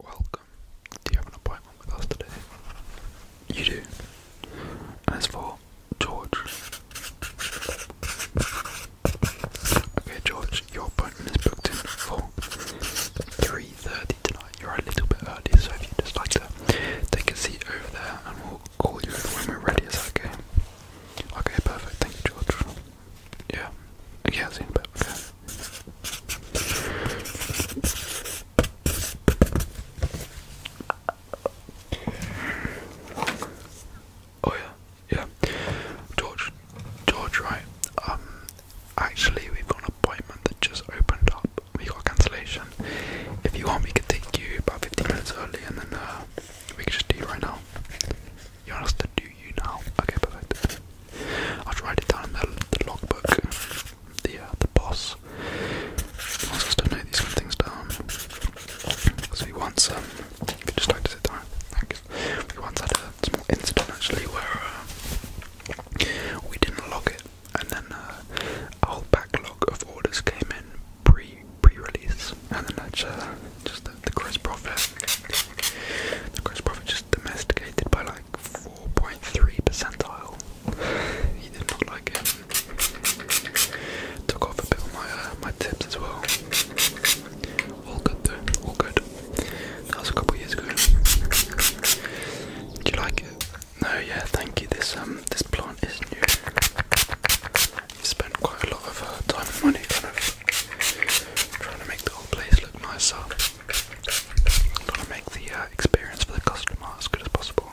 Welcome. Do you have an appointment with us today? You do. And it's for George. Okay, George, your appointment is booked in for 3.30 tonight. You're a little bit early, so if you'd just like to take a seat over there and we'll call you when we're ready, is that okay? Okay, perfect. Thank you, George. Yeah. I've seen a bit. Oh yeah, yeah. George, George, right? Um, actually, we've got an appointment that just opened up. We got cancellation. If you want, we could take you about 15 minutes early, and then uh, we could just do you right now. You want us to do you now? Okay, perfect. I'll try it down in the, logbook. The uh, the boss wants us to note these kind of things down. So he once um, if you just like to sit down. Thanks. We once had a small incident actually where uh, we didn't log it, and then uh, a whole backlog of orders came in pre pre release, and then that's just the, the gross profit. The gross profit just domesticated by like like 4.3 percentile. He did not like it. Took off a bit of my uh, my tips as well. All good though. All good. That was a couple years ago. Do you like it? No, yeah, thank you. This um this plant is new. You spent quite a lot of uh, time and money kind of trying to make the whole place look nicer. Gotta make the uh, experience for the customer as good as possible.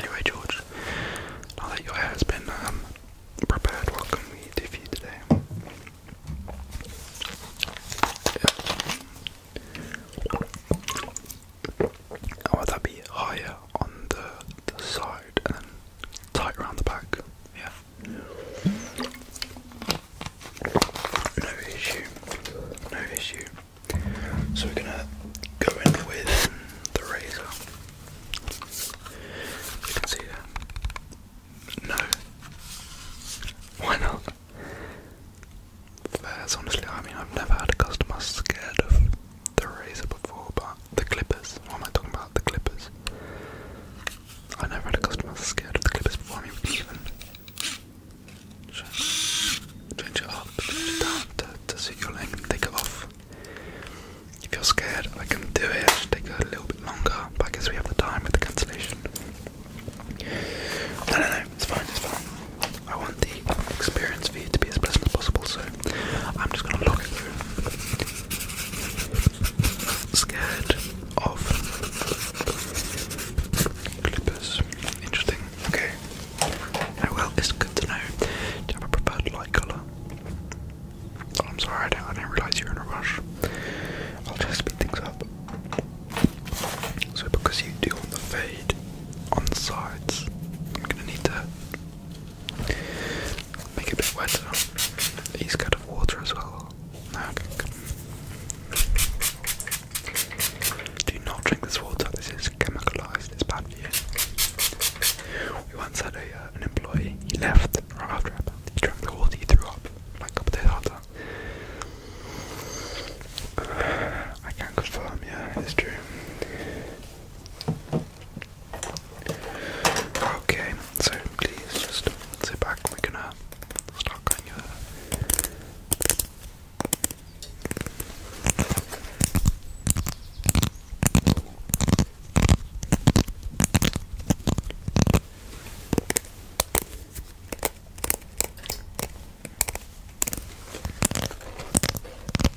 Anyway, George, now that your hair has what can we do for you today? Yeah. Oh, that'd be on the, side and then tight around the back. Yeah. No issue. No issue. So we're gonna go in with the razor. You can see that. No. Why not? That's honestly, I mean, I've never had a customer scared of the Razor before, but the Clippers. What am I talking about? The Clippers. I never had a customer scared of the Clippers before. Me mean, even change it up, change it down to, to suit your length. Take it off. If you're scared, I can do it. take a little bit longer, but I we have the time with the cancellation. No, no, no. It's fine. It's fine. I want the experience for you to be as pleasant as possible, so I'm just gonna look at you. Scared of clippers. Interesting. Okay. Oh, well, it's good to know. Do you have a preferred light colour? Oh, I'm sorry, I didn't, realise you were in a rush. I'll just speed things up. So because you do on the fade on the sides, I'm gonna need to Make it a bit wetter. Are you scared of water as well? Ah, Do not drink this water, this is chemicalized, it's bad for you. We once had a, uh, an employee, he left right after it, he drank the water, he threw up like a couple days after. I can confirm, yeah, it's true. Okay, so please just sit back. We're gonna start cutting your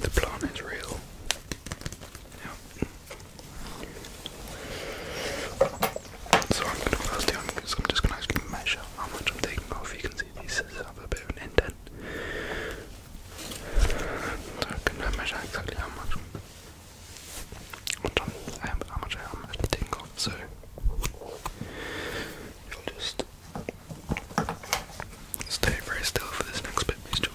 The plant is real. Yeah. So I'm gonna first i I'm just gonna measure how much I'm taking off. You can see these scissors a bit of an indent. So I can measure exactly how much I am taking off. So you'll just Stay very still for this next bit, please, George.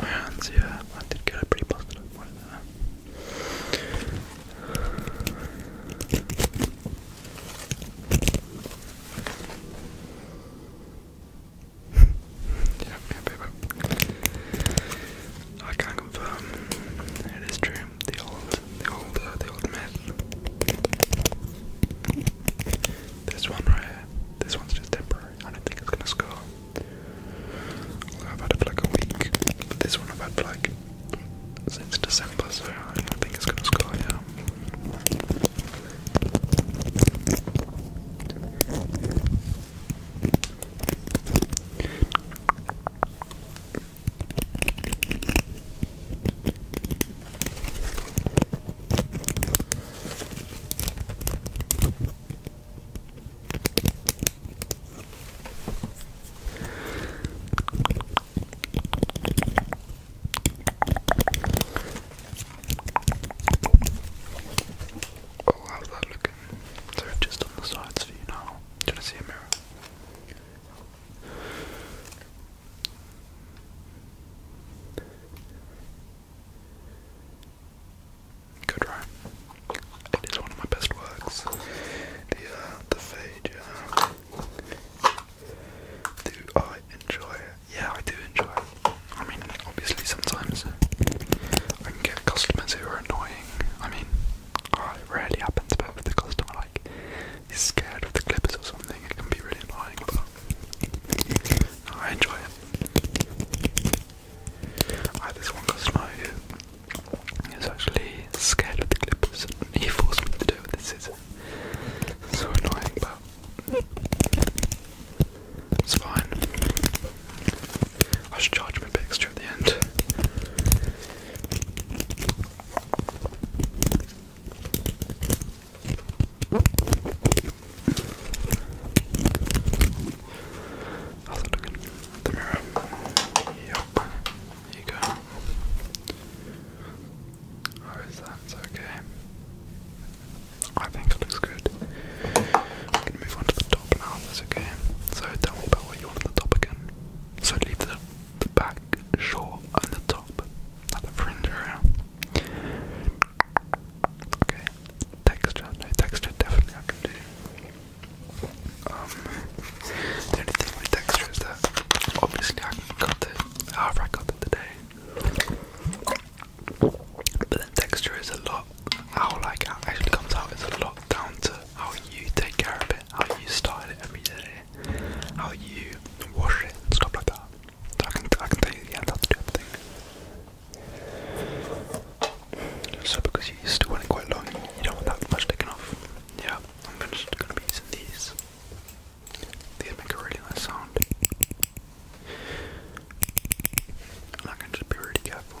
My hands, yeah, I did get a pretty busted up one yeah, yeah, baby. I can confirm it is true. The old, the old, uh, the old myth. This one right this one's just temporary. I don't think it's gonna score. I've had it for like a week, this one I've had for like since December, so I don't think it's gonna score. Yeah. Oh, how's that looking? So just on the sides for you now. Do you want to see a mirror? Good rhyme. It is one of my best works. The uh, the Phaedra. Uh, do I enjoy it? Yeah, I do enjoy it. I mean, obviously sometimes I can get customers who are annoying. I mean, it rarely happens, but with the customer like is scared of the clippers or something, it can be really annoying. Oh, I enjoy it. I had this one customer who actually scared of the clippers he forced me to do it with So annoying, but it's fine. I should charge him a at the end. Also look in the mirror. Yup. There you go. How is that? It's okay. I think it looks good. I'm move on to the top now, that's okay. So tell me you want the top again. So leave the the back short and the top not the fringe area. Okay. Texture. texture definitely I can do. Um, the only thing with texture is that obviously I can cut it however I cut it today. But then texture is a lot, how like actually comes out is a lot down to how you take care of it, how you style it every day, how you wash it stuff like that. I can, I can tell you, yeah, that's the thing. So because you still want it quite long, you don't want that much taken off. Yeah, I'm just gonna be using these. These make a really nice sound. I can just be really careful.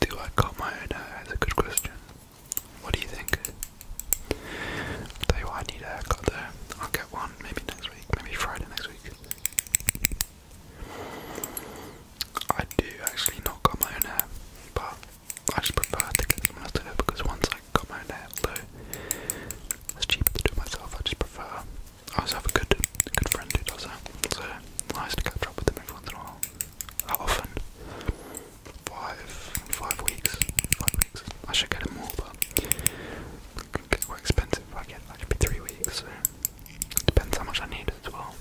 Do I cut my own hair? That's a good question. What do you think? i need a haircut I'll get one maybe next week, maybe Friday next week. I do actually not cut my own hair, but I just prefer to get someone else to do because once I cut my own hair, although it's cheaper to do myself, I just prefer. I also have a good, good friend who does that, so nice to catch up with him every once in a while that often. Five, five weeks, five weeks. I should get it more, but it's more expensive. I get that could be three weeks. it depends how much I need as well.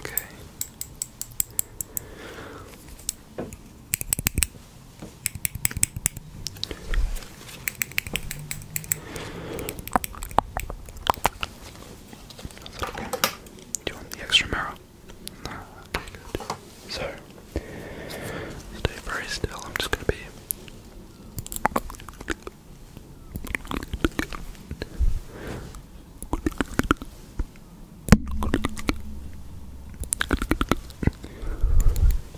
Okay. Do you want the extra mirror? No, okay, good. So, stay very still. I'm just going to be.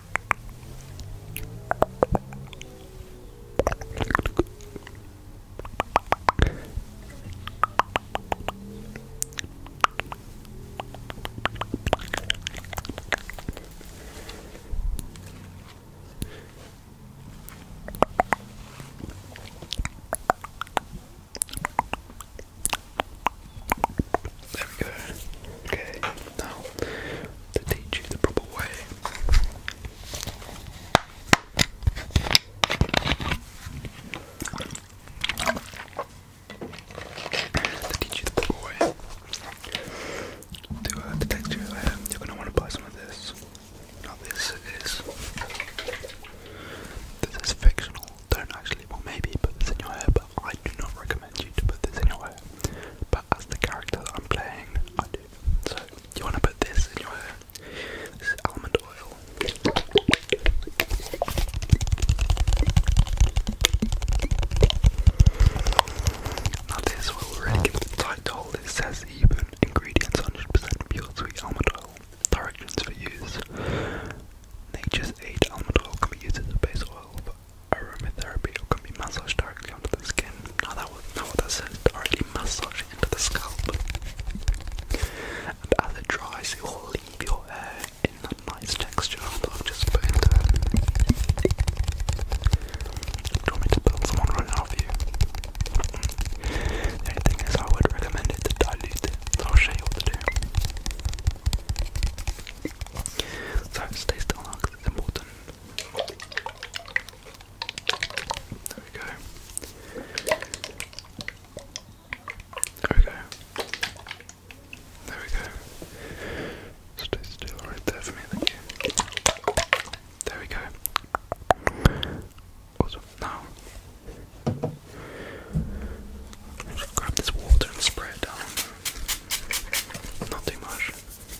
There we go. Okay, now to teach you the proper way to teach you the proper way to uh, detect you're gonna want to buy some of this. Now this is this is fictional. Don't actually, well maybe put this in your hair, but I do not recommend you to put this in your hair but as the character that I'm playing, I do. So, you want to put this in your hair? This is almond oil. Now, this will really give the title. It says even ingredients 100% pure sweet almond oil. Directions for use. Nature's aid almond oil can be used as a base oil aromatherapy or can be massaged directly onto the skin. Now that was not what that said, directly massage into the scalp. And as it dries, it will leave your hair in that nice texture I've just put Do you want me to someone right now you? The only thing is, I would recommend it to dilute it, I'll show you what to do. So stay still because it's important. There we go. There we go. There we go. Stay still right there for me, thank you. There we go. Now, grab this water and spray it down. Not too much.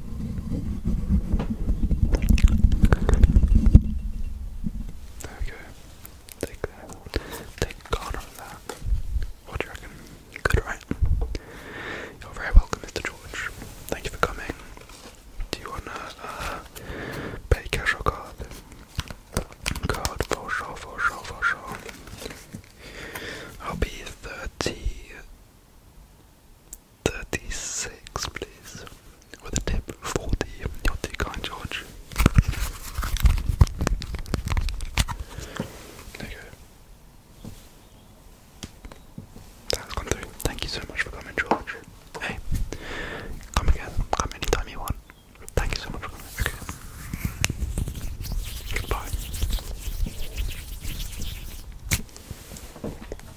There Take that. Take God on that. What do you reckon? Good, right? You're very welcome, Mr. George. Thank you for coming. Do you wanna uh, pay cash or card? Card for sure, for sure, for sure. I'll be thirty. 36, please. With a tip 40. You're too kind, George. There you go. That's gone through. Thank you so much for coming, George. Hey, come again. Come anytime you want. Thank you so much for coming. Okay. Goodbye.